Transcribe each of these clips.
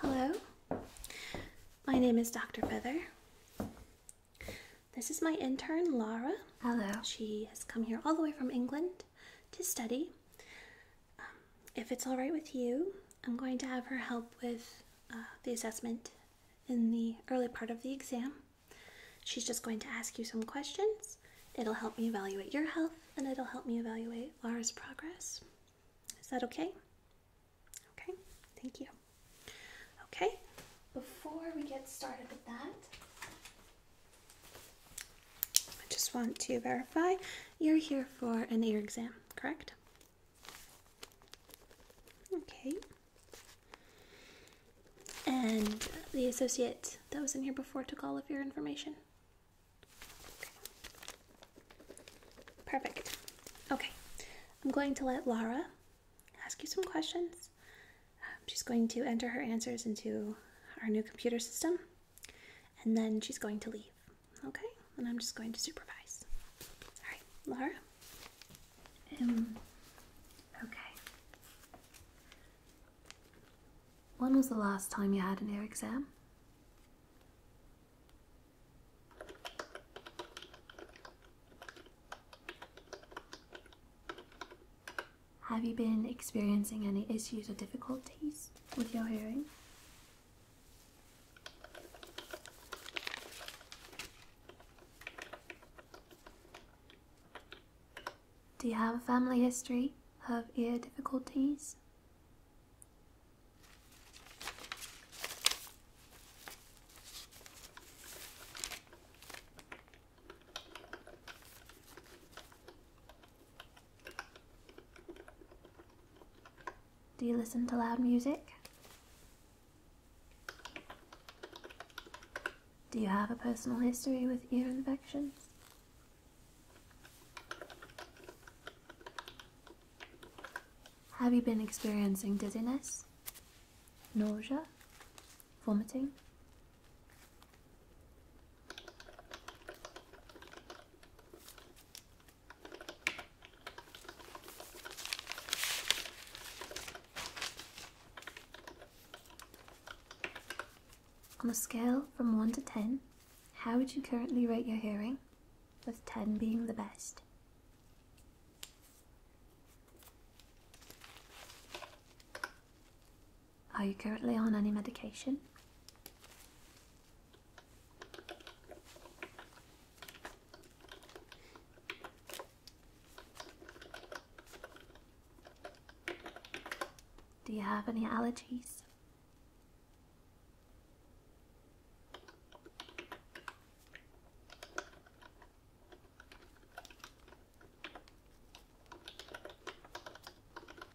Hello, my name is Dr. Feather. This is my intern, Lara. Hello. She has come here all the way from England to study. Um, if it's all right with you, I'm going to have her help with uh, the assessment in the early part of the exam. She's just going to ask you some questions. It'll help me evaluate your health and it'll help me evaluate Laura's progress. Is that okay? Okay, thank you. Okay, before we get started with that, I just want to verify you're here for an ear exam, correct? Okay. And the associate that was in here before took all of your information. Perfect. Okay. I'm going to let Lara ask you some questions. Um, she's going to enter her answers into our new computer system and then she's going to leave. Okay, and I'm just going to supervise. All right, Laura. Um, okay. When was the last time you had an ear exam? Have you been experiencing any issues or difficulties with your hearing? Do you have a family history of ear difficulties? Do you listen to loud music? Do you have a personal history with ear infections? Have you been experiencing dizziness, nausea, vomiting? On a scale from 1 to 10, how would you currently rate your hearing, with 10 being the best? Are you currently on any medication? Do you have any allergies?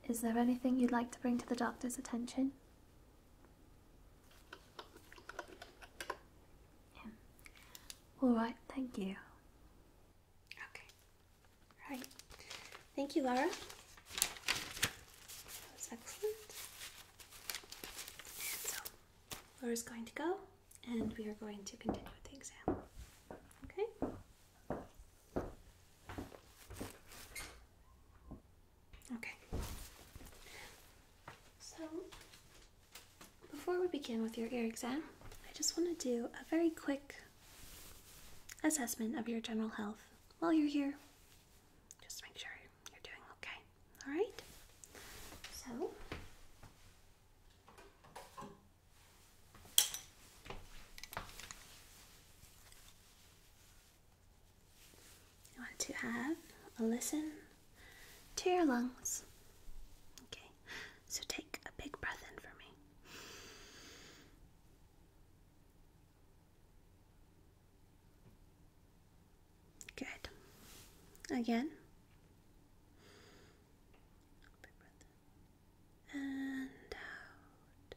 Is there anything you'd like to bring to the doctor's attention? All right, thank you. Okay. Right. Thank you, Laura. That was excellent. And so, Laura's going to go, and we are going to continue with the exam. Okay? Okay. So, before we begin with your ear exam, I just want to do a very quick assessment of your general health while you're here. Just make sure you're doing okay. All right? So, I want to have a listen to your lungs. Okay, so take a big breath in for me. Good. Again. And out.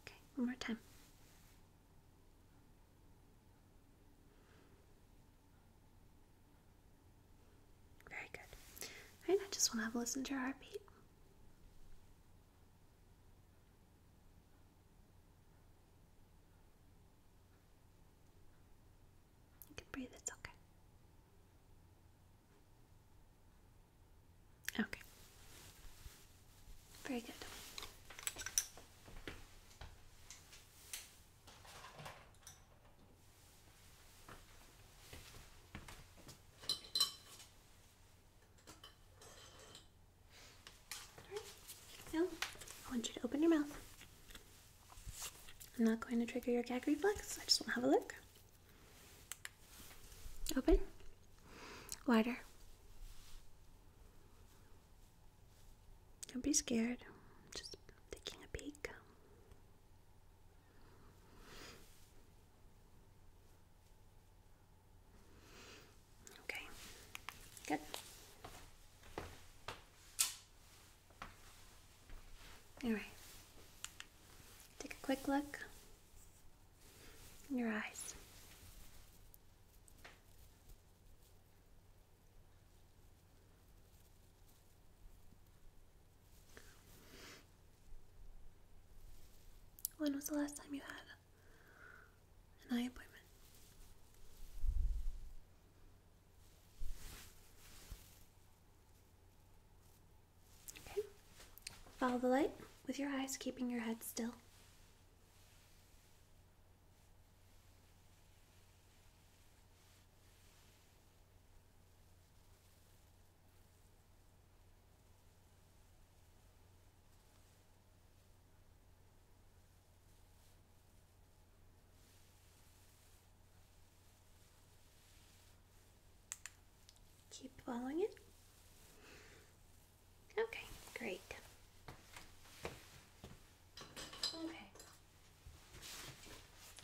Okay, one more time. Very good. Alright, I just want to have a listen to your heartbeat. You can breathe, it's okay. Okay. Very good. All right. Now, I want you to open your mouth. I'm not going to trigger your gag reflex. I just want to have a look. Open. Wider. Don't be scared. just taking a peek. Okay, good. All right, take a quick look in your eyes. When was the last time you had an eye appointment? Okay. Follow the light with your eyes, keeping your head still. Keep following it. Okay, great. Okay.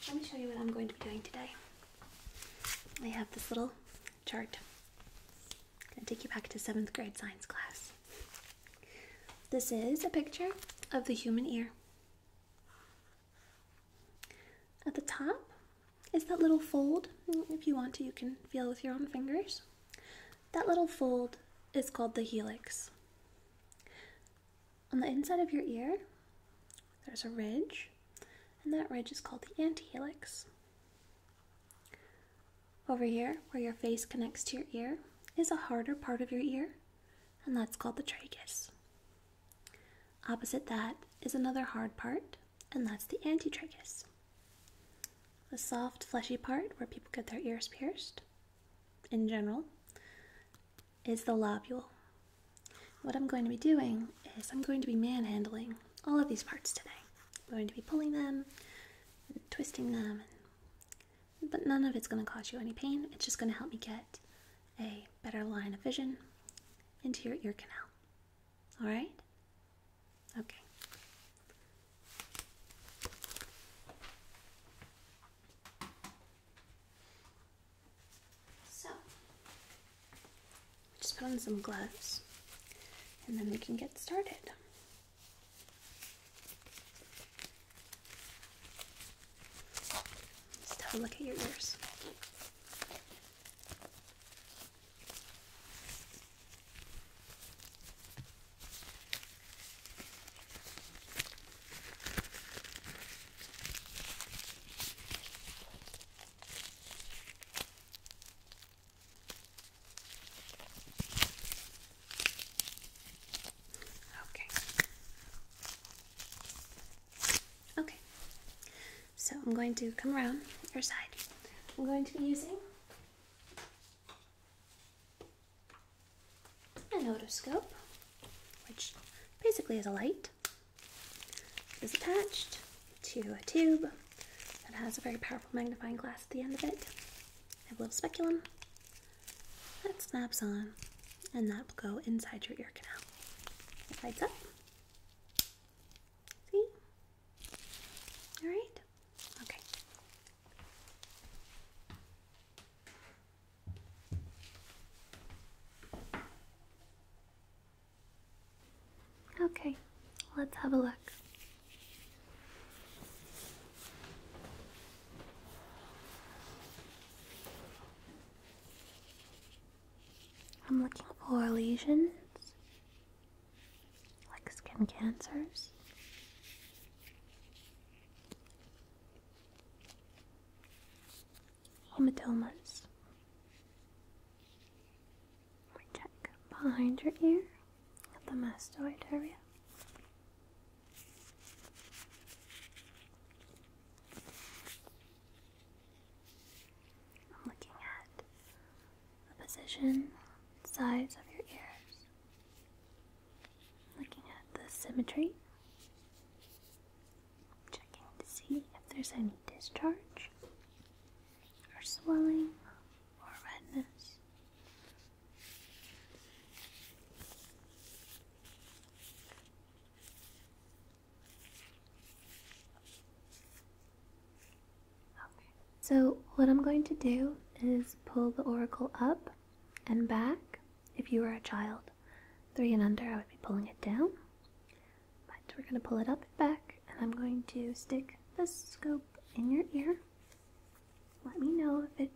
Let me show you what I'm going to be doing today. I have this little chart. i going to take you back to seventh grade science class. This is a picture of the human ear. At the top is that little fold. Mm, if you want to, you can feel with your own fingers. That little fold is called the helix. On the inside of your ear, there's a ridge, and that ridge is called the antihelix. Over here, where your face connects to your ear, is a harder part of your ear, and that's called the tracheus. Opposite that is another hard part, and that's the antitracheus the soft, fleshy part where people get their ears pierced in general is the lobule. What I'm going to be doing is I'm going to be manhandling all of these parts today. I'm going to be pulling them, and twisting them, but none of it's going to cause you any pain. It's just going to help me get a better line of vision into your ear canal. All right? Okay. So, just put on some gloves and then we can get started. Just have a look at your ears. Okay. Okay. So I'm going to come around your side. I'm going to be using an otoscope, which basically is a light, is attached to a tube that has a very powerful magnifying glass at the end of it. a little speculum that snaps on, and that will go inside your ear canal. It lights up. See? All right? Okay. Okay, let's have a look. I'm looking for lesions like skin cancers. Hematomas. We check behind your ear at the mastoid area. I'm looking at the position, size of your ears. Looking at the symmetry. Checking to see if there's any discharge or swelling or redness. Okay. So, what I'm going to do is pull the oracle up and back. If you are a child, three and under, I would be pulling it down. But we're going to pull it up and back, and I'm going to stick the scope in your ear. Let me know if it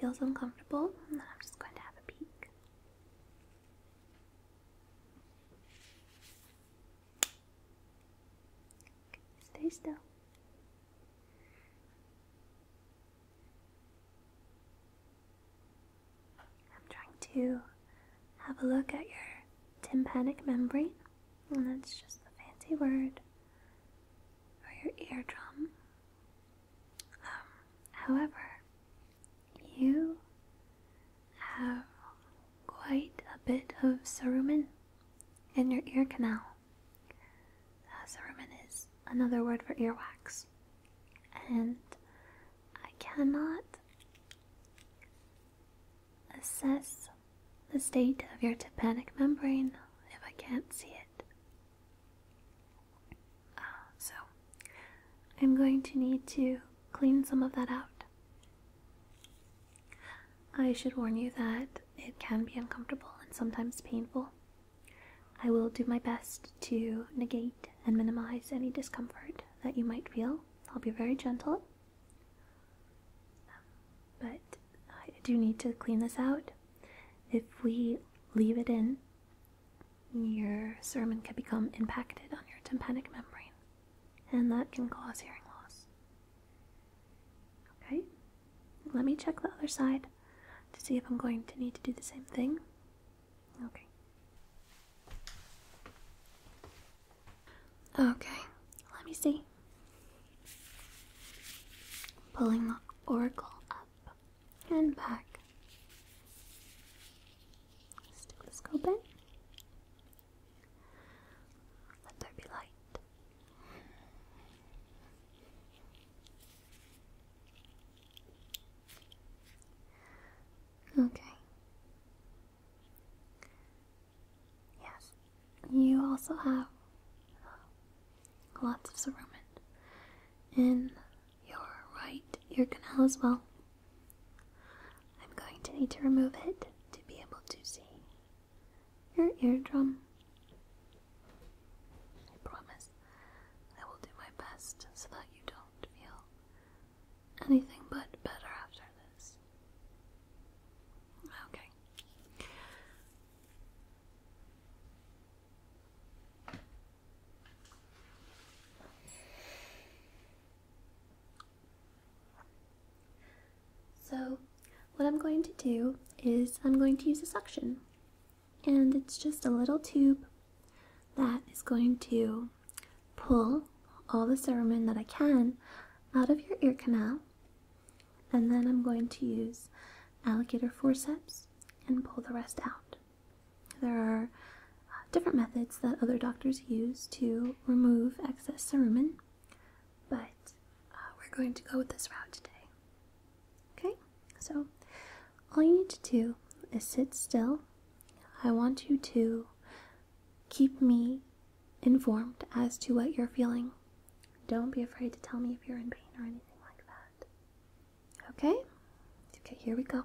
feels uncomfortable, and then I'm just going to have a peek. Stay still. I'm trying to have a look at your tympanic membrane, and that's just a fancy word for your eardrum. Um, however, you have quite a bit of cerumen in your ear canal. Uh, cerumen is another word for earwax. And I cannot assess the state of your tympanic membrane if I can't see it. Ah, so, I'm going to need to clean some of that out. I should warn you that it can be uncomfortable and sometimes painful. I will do my best to negate and minimize any discomfort that you might feel. I'll be very gentle. But I do need to clean this out. If we leave it in, your sermon can become impacted on your tympanic membrane, and that can cause hearing loss. Okay, let me check the other side to see if I'm going to need to do the same thing. Okay. Okay, let me see. Pulling the oracle up and back. Stethoscope in. Let there be light. Okay. Yes, you also have uh, lots of cerumen in your right ear canal as well. I'm going to need to remove it to be able to see your eardrum. I promise I will do my best so that you don't feel anything but better after this. Okay. So, what I'm going to do is I'm going to use a suction. And it's just a little tube that is going to pull all the cerumen that I can out of your ear canal. And then I'm going to use alligator forceps and pull the rest out. There are uh, different methods that other doctors use to remove excess cerumen but uh, we're going to go with this route today. Okay, so all you need to do is sit still. I want you to keep me informed as to what you're feeling. Don't be afraid to tell me if you're in pain or anything like that. Okay? Okay, here we go.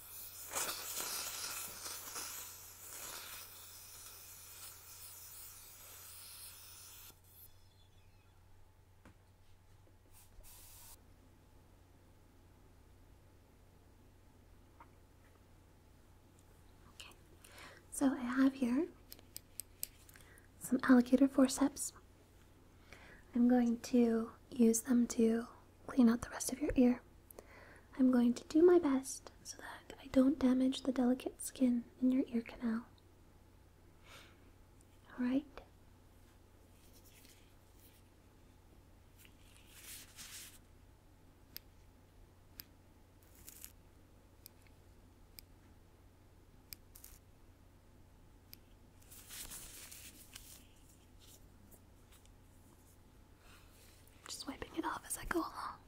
Okay, so I have here some alligator forceps. I'm going to use them to clean out the rest of your ear. I'm going to do my best so that I don't damage the delicate skin in your ear canal. Alright? Just wiping it off as I go along.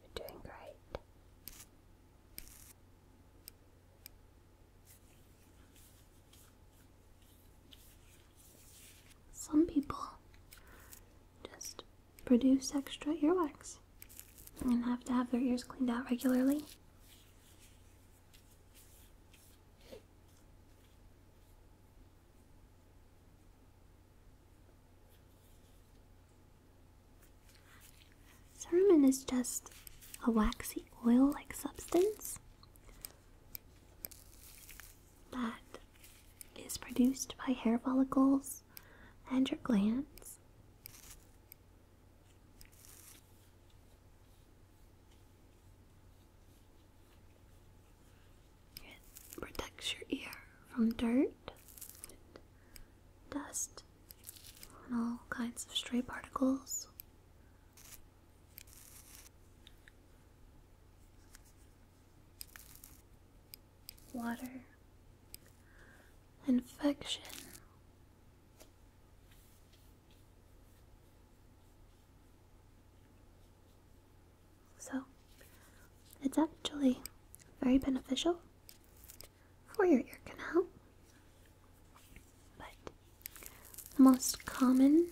You're doing great. Some people just produce extra earwax and have to have their ears cleaned out regularly. Cerumen is just a waxy oil like substance that is produced by hair follicles and your glands. It protects your ear from dirt, dust, and all kinds of stray particles water, infection. So, it's actually very beneficial for your ear canal. But the most common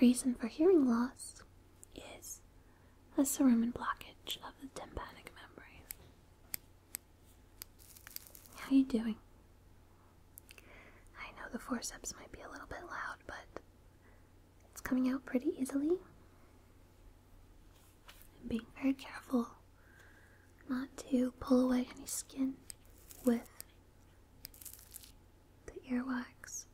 reason for hearing loss is a cerumen blockage of the tympanic membrane. How you doing? I know the forceps might be a little bit loud, but it's coming out pretty easily. i being very careful not to pull away any skin with the earwax.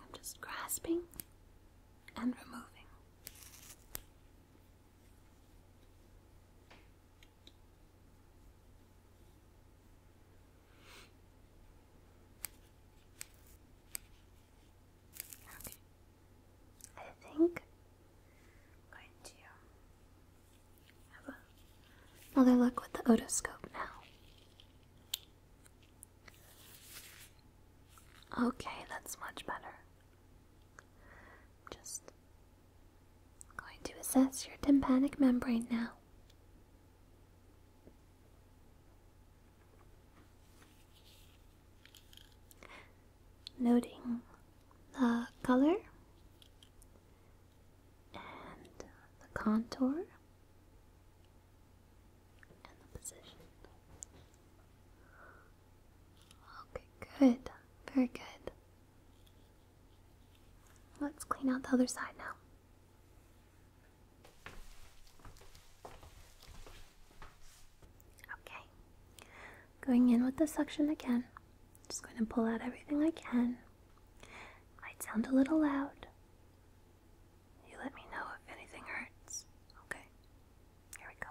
I'm just grasping and removing. Okay. I think another look with the otoscope now. Okay, that's much better. just going to assess your tympanic membrane now. Noting the color and the contour and the position. Okay, good. Very good. Let's clean out the other side now. Okay, going in with the suction again. Just going to pull out everything I can. might sound a little loud. You let me know if anything hurts. Okay, here we go.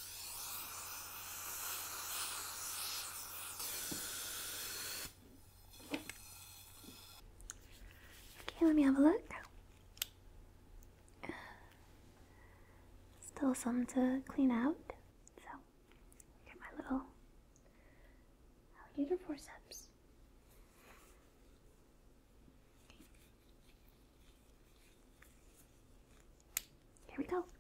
Okay, let me have a look. Still some to clean out, so get my little forceps. Here we go. There's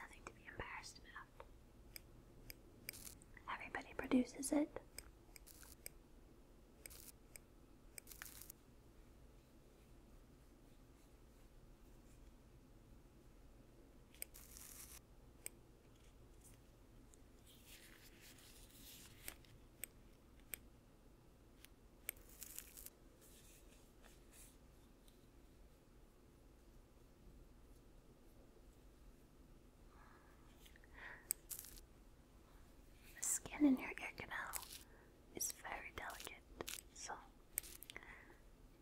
nothing to be embarrassed about. Everybody produces it. The skin in your ear canal is very delicate, so it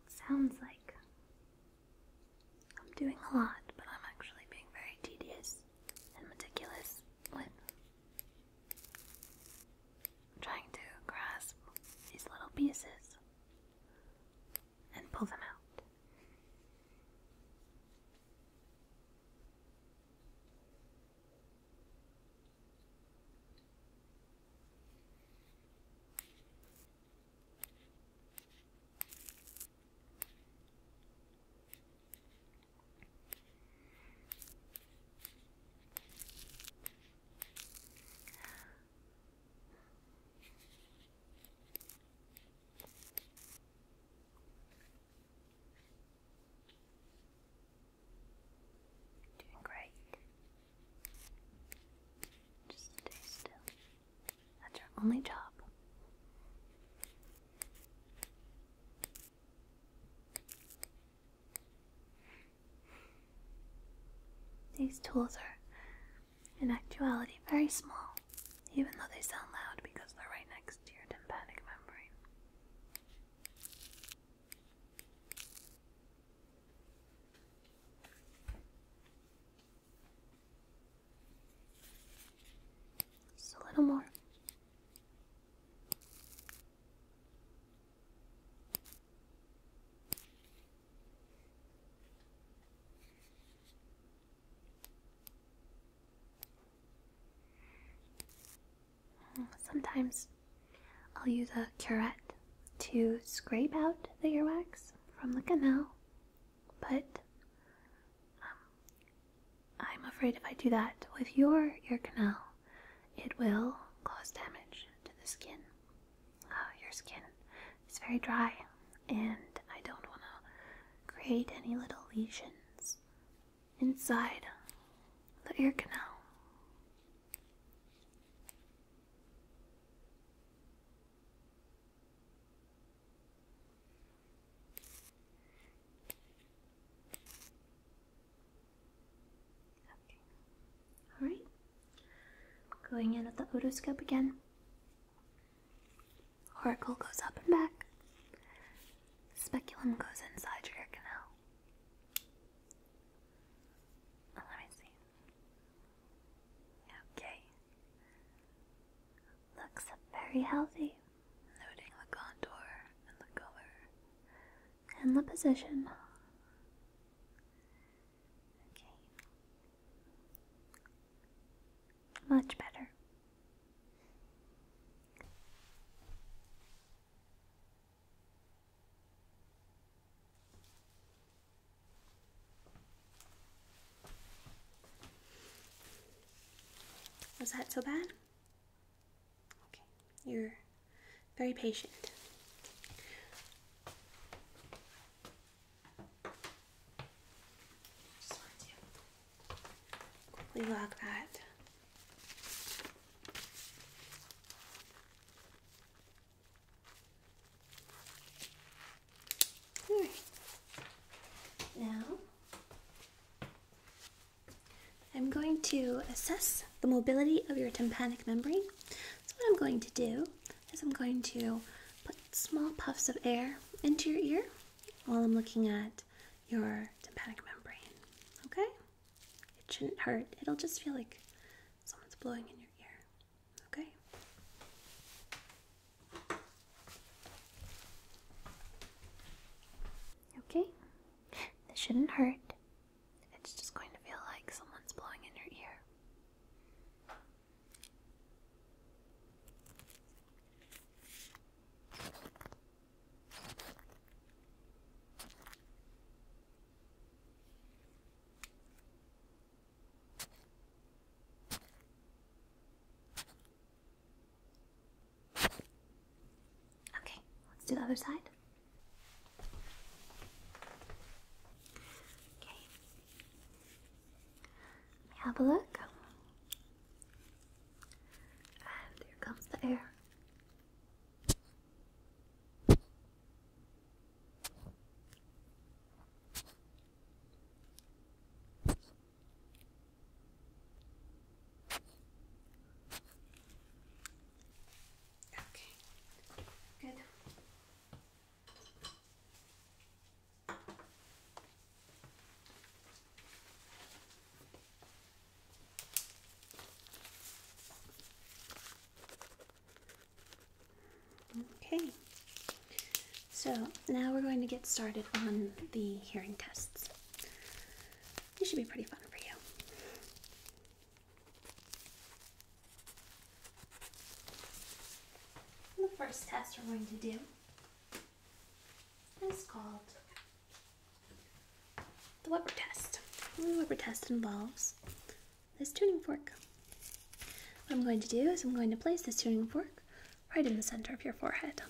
sounds like I'm doing a lot, but I'm actually being very tedious and meticulous when trying to grasp these little pieces and pull them out. Doing great. Just stay still. That's your only job. These tools are in actuality very small, even though they sound loud because they're right next to your tympanic membrane. Just a little more. Sometimes I'll use a curette to scrape out the earwax from the canal, but um, I'm afraid if I do that with your ear canal, it will cause damage to the skin. Uh, your skin is very dry, and I don't want to create any little lesions inside the ear canal. Okay. Alright, going in with the otoscope again. Oracle goes up and back. Speculum goes inside your ear canal. Oh, let me see. Okay. Looks very healthy. Noting the contour and the color and the position. Okay. Much better. Was that so bad? Okay, you're very patient. Just lock that. Now I'm going to assess the mobility of your tympanic membrane. So what I'm going to do is I'm going to put small puffs of air into your ear while I'm looking at your tympanic membrane. Okay? It shouldn't hurt. It'll just feel like someone's blowing in your ear. Okay? Okay? This shouldn't hurt. It's just going to feel like someone's blowing in your ear. Okay, let's do the other side. Okay, have a look. And here comes the air. Okay, good. Okay, so now we're going to get started on the hearing tests. This should be pretty fun for you. The first test we're going to do is called the Weber test. The Weber test involves this tuning fork. What I'm going to do is I'm going to place this tuning fork right in the center of your forehead.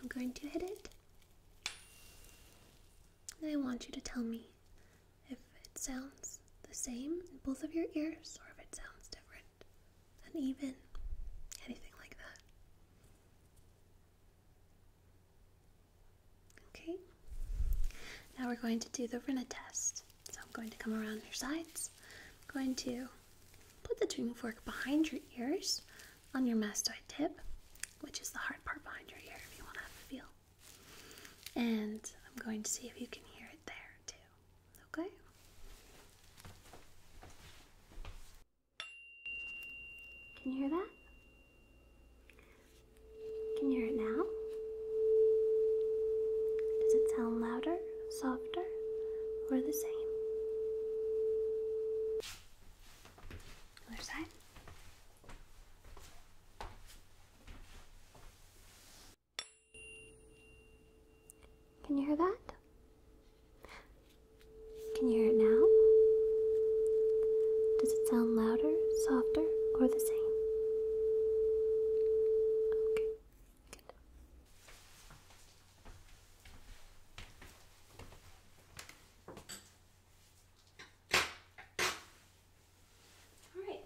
I'm going to hit it. And I want you to tell me if it sounds the same in both of your ears or if it sounds different, and even anything like that. Okay, now we're going to do the Rinna test. So I'm going to come around your sides. I'm going to put the tuning fork behind your ears on your mastoid tip, which is the hard part behind your ear if you want to have a feel. And I'm going to see if you can hear it there too okay? Can you hear that? Can you hear it now? Does it sound louder, softer, or the same? Other side. Can you hear that? Can you hear it now? Does it sound louder, softer, or the same? Okay, good. All right.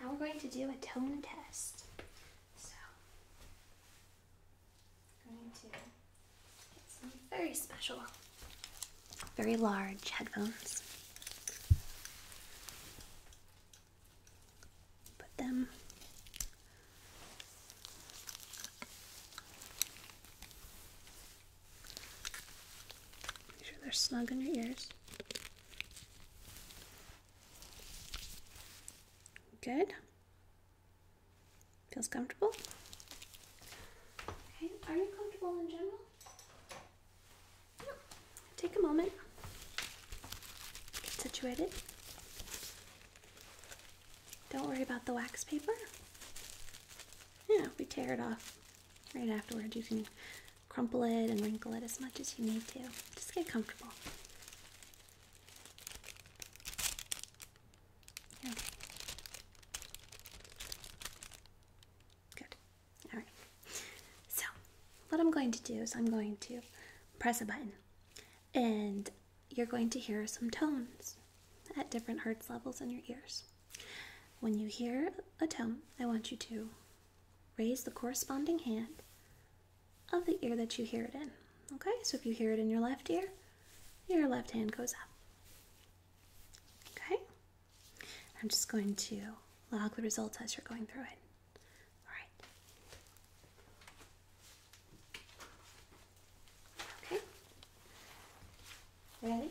Now we're going to do a tone test. So going to get some very special, very large headphones. Put them Make sure they're snug in your ears. Good. Feels comfortable? Okay, are you comfortable in general? Yeah. Take a moment. Get situated. Don't worry about the wax paper. Yeah, we tear it off right afterwards, you can crumple it and wrinkle it as much as you need to. Just get comfortable. Good. All right. So, what I'm going to do is I'm going to press a button and you're going to hear some tones at different hertz levels in your ears. When you hear a tone, I want you to raise the corresponding hand of the ear that you hear it in. Okay? So if you hear it in your left ear, your left hand goes up. Okay? I'm just going to log the results as you're going through it. All right. Okay. Ready?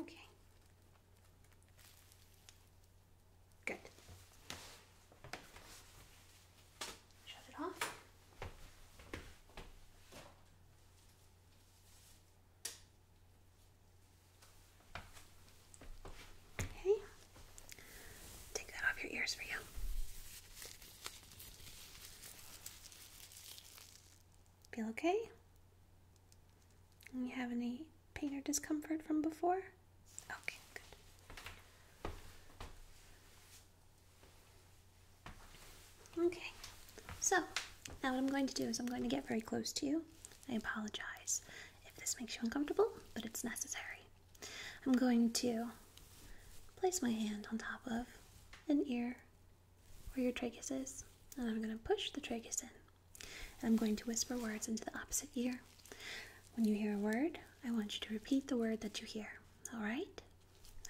Okay. Good. Shut it off. Okay. Take that off your ears for you. Feel okay? You have any pain or discomfort from before? Okay, good. Okay, so now what I'm going to do is I'm going to get very close to you. I apologize if this makes you uncomfortable, but it's necessary. I'm going to place my hand on top of an ear where your tragus is, and I'm going to push the tragus in. I'm going to whisper words into the opposite ear. When you hear a word, I want you to repeat the word that you hear. All right?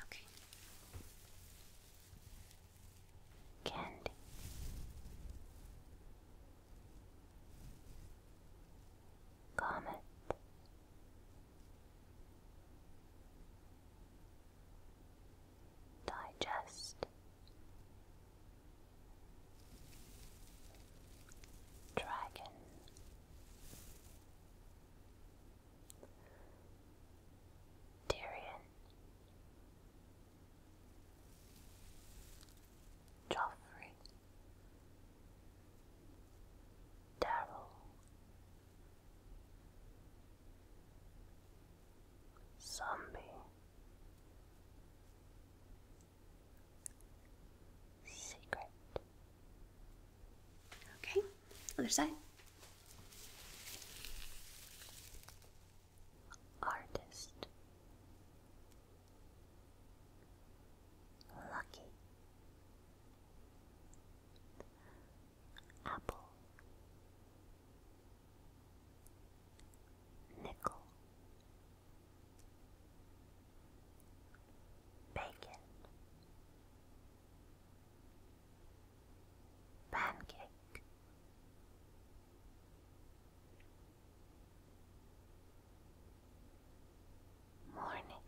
Okay. Candy. Comment. Digest. Dragon. Tyrion. Joffrey, Daryl, Zombie, Secret. Okay, other side artist, lucky, apple, nickel. Bacon, pancake, Morning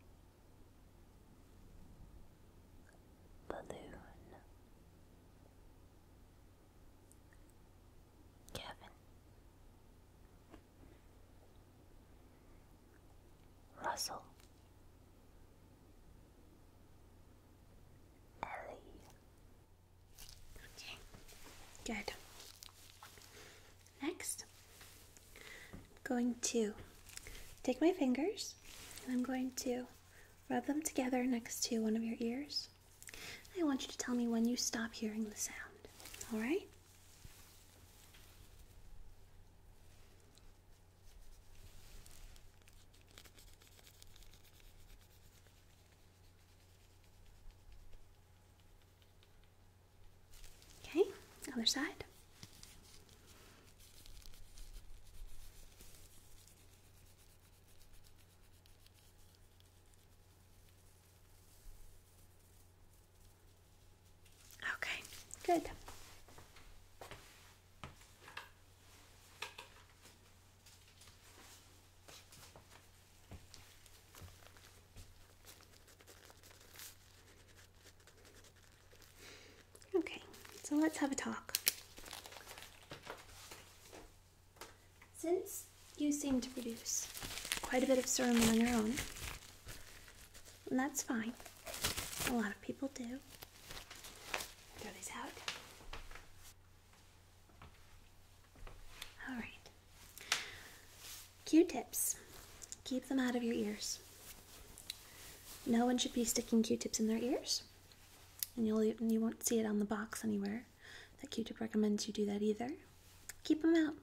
Balloon Kevin Russell Ellie Okay, good. Next, I'm going to take my fingers and I'm going to rub them together next to one of your ears. I want you to tell me when you stop hearing the sound, all right? Okay, other side. Okay, good. Okay, so let's have a talk. Since you seem to produce quite a bit of serum on your own, that's fine, a lot of people do. Throw these out. All right. Q-tips. Keep them out of your ears. No one should be sticking Q-tips in their ears, and you'll you won't see it on the box anywhere that Q-tip recommends you do that either. Keep them out.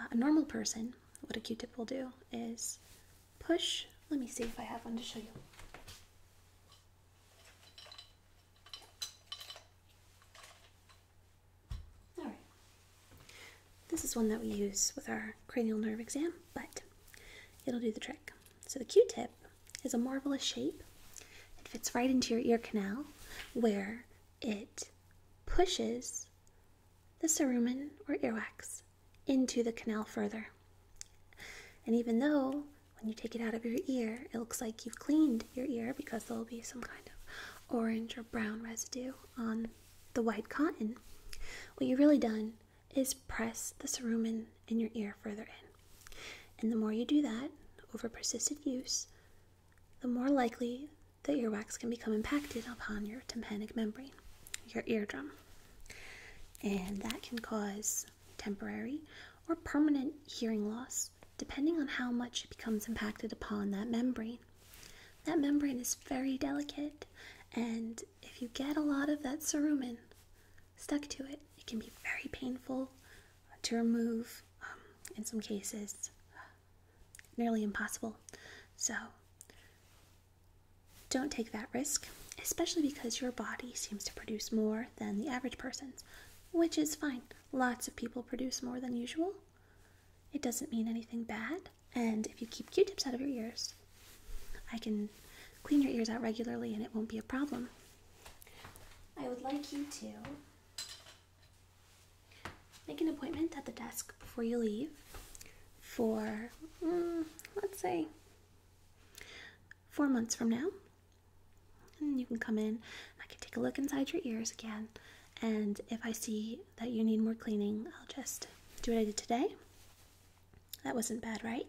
Uh, a normal person, what a Q-tip will do is push. Let me see if I have one to show you. All right. This is one that we use with our cranial nerve exam, but it'll do the trick. So the Q-tip is a marvelous shape. It fits right into your ear canal where it pushes the cerumen or earwax into the canal further. And even though when you take it out of your ear, it looks like you've cleaned your ear because there'll be some kind of orange or brown residue on the white cotton. What you've really done is press the cerumen in your ear further in. And the more you do that over persistent use, the more likely the earwax can become impacted upon your tympanic membrane, your eardrum. And that can cause temporary or permanent hearing loss depending on how much it becomes impacted upon that membrane. That membrane is very delicate, and if you get a lot of that cerumen stuck to it, it can be very painful to remove. Um, in some cases, nearly impossible. So, don't take that risk, especially because your body seems to produce more than the average person's, which is fine. Lots of people produce more than usual. It doesn't mean anything bad. And if you keep q tips out of your ears, I can clean your ears out regularly and it won't be a problem. I would like you to make an appointment at the desk before you leave for, mm, let's say, four months from now. And you can come in, I can take a look inside your ears again. And if I see that you need more cleaning, I'll just do what I did today. That wasn't bad, right?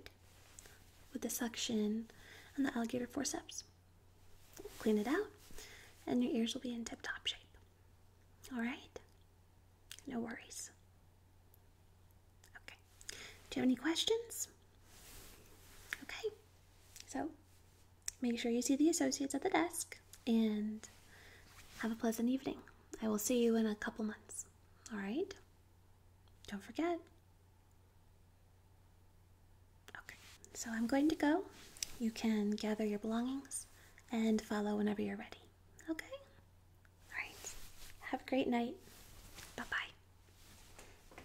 With the suction and the alligator forceps. Clean it out, and your ears will be in tip top shape. All right? No worries. Okay. Do you have any questions? Okay. So Make sure you see the associates at the desk and have a pleasant evening. I will see you in a couple months. All right? Don't forget. Okay, so I'm going to go. You can gather your belongings and follow whenever you're ready. Okay? All right. Have a great night. Bye bye.